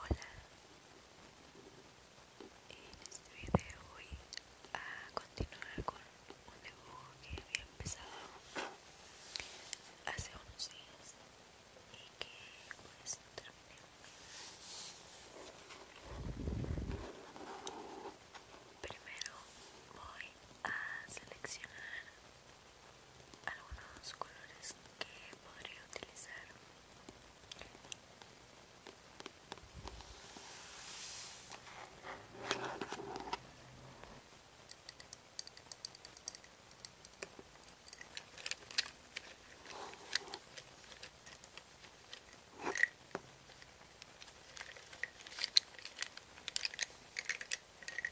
Hola, en este video voy a continuar con un dibujo que había empezado hace unos días y que pues no terminé. Primero voy a seleccionar algunos colores que podría utilizar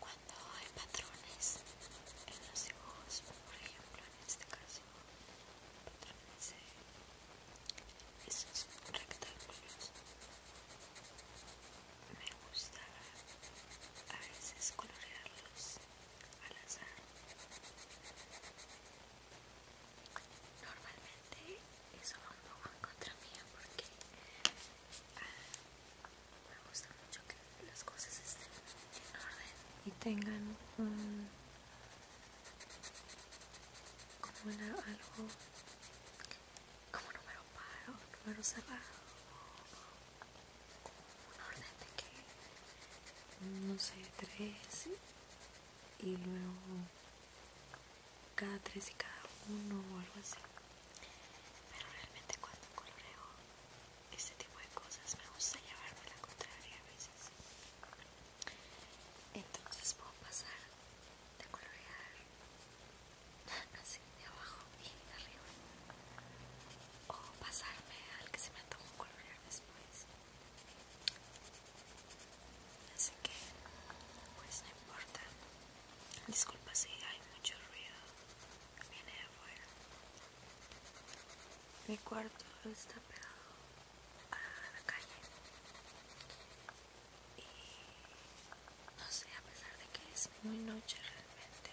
cuando hay patrones en los dibujos, por ejemplo en este caso, patrones esos rectángulos, me gusta a veces colorearlos al azar. Normalmente eso va en contra mía porque... Ah, me gusta mucho que las cosas estén en orden y tengan un como algo como número par número cerrado como un orden de que no sé tres y luego cada tres y cada uno o algo así pero realmente cuando coloreo este tipo de cosas me gusta llevarme la contraria a veces entonces puedo pasar de colorear así de abajo y de arriba o pasarme al que se me tomado colorear después así que pues no importa disculpa si hay mucho ruido viene de afuera. Mi cuarto está pegado a la calle. Y no sé, a pesar de que es muy noche realmente,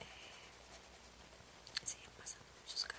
eh, siguen pasando muchos carros.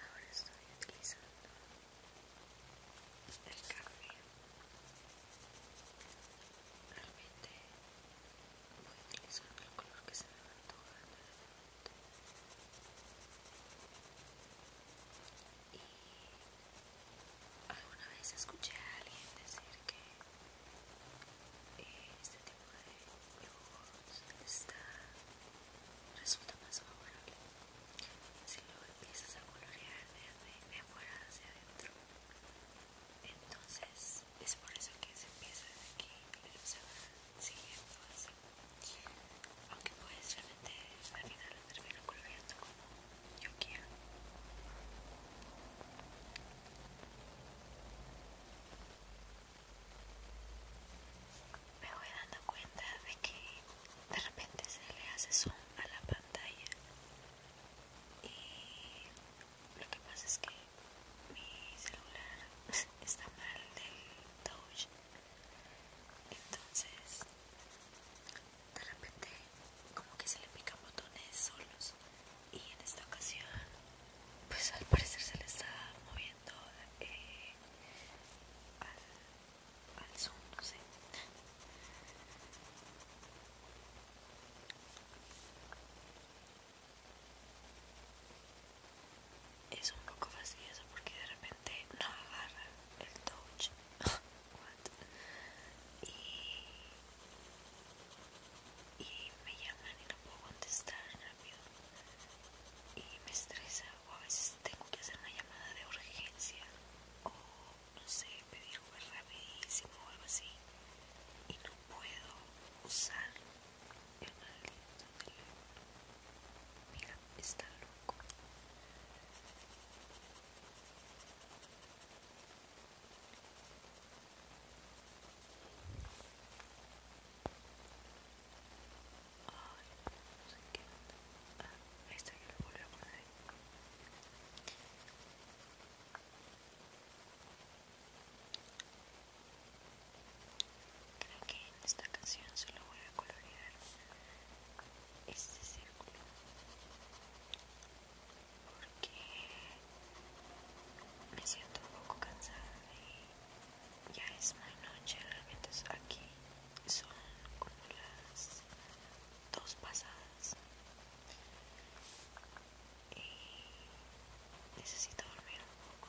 Ahora estoy utilizando el café. Realmente voy utilizando el color que se me va antojando en el este momento. Y Alguna vez escuché a alguien decir que eh, este tipo de juegos está, resulta más favorable si lo empiezas a colorear de, afuera hacia adentro. Entonces es por eso que se empieza desde aquí pero se va siguiendo así. Aunque pues realmente al final lo termino coloreando como yo quiero. Me voy dando cuenta de que de repente se le hace zoom a la pantalla y lo que pasa es que mi celular está mal del touch entonces de repente como que se le pican botones solos y en esta ocasión pues al parecer se le está moviendo eh, al zoom, no sé es un poco fastidioso porque de repente no agarra el touch y, me llaman y no puedo contestar rápido y me estresa o a veces tengo que hacer una llamada de urgencia o no sé, pedir ver rapidísimo o algo así y no puedo usar el maldito teléfono mira, está loco esta Creo que en esta canción solo voy a colorear este círculo porque me siento un poco cansada y ya es muy noche realmente aquí son como las dos pasadas y necesito dormir un poco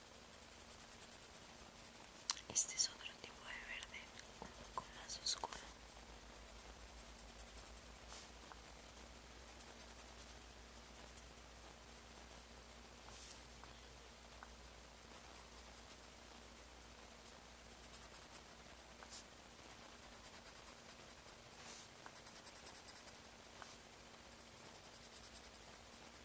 Este es otro tipo de verde, un poco más oscuro.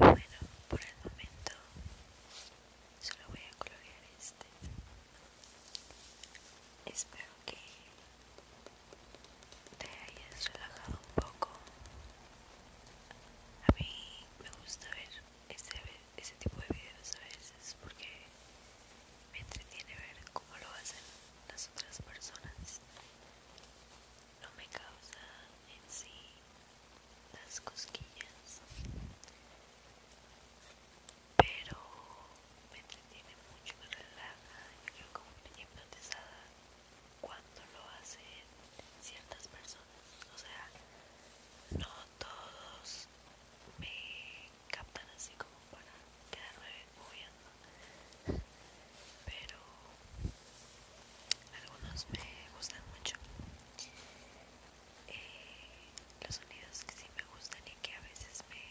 Y bueno, por el momento solo voy a colorear este espero que te hayas relajado un poco a mí me gusta ver este, tipo de videos a veces porque me entretiene ver cómo lo hacen las otras personas no me causa en sí las cosquillas pero me entretiene mucho, me relaja, yo como como hipnotizada cuando lo hacen ciertas personas, o sea, no todos me captan así como para quedarme moviendo, pero algunos me gustan mucho eh, los sonidos que sí me gustan y que a veces me,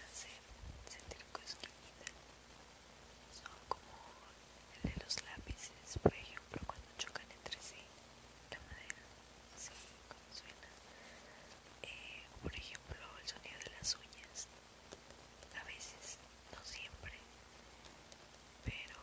hacen sentir cosquillita son como el de los lápices, por ejemplo, cuando chocan entre sí la madera, así como suena. Eh, por ejemplo, el sonido de las uñas, a veces, no siempre, pero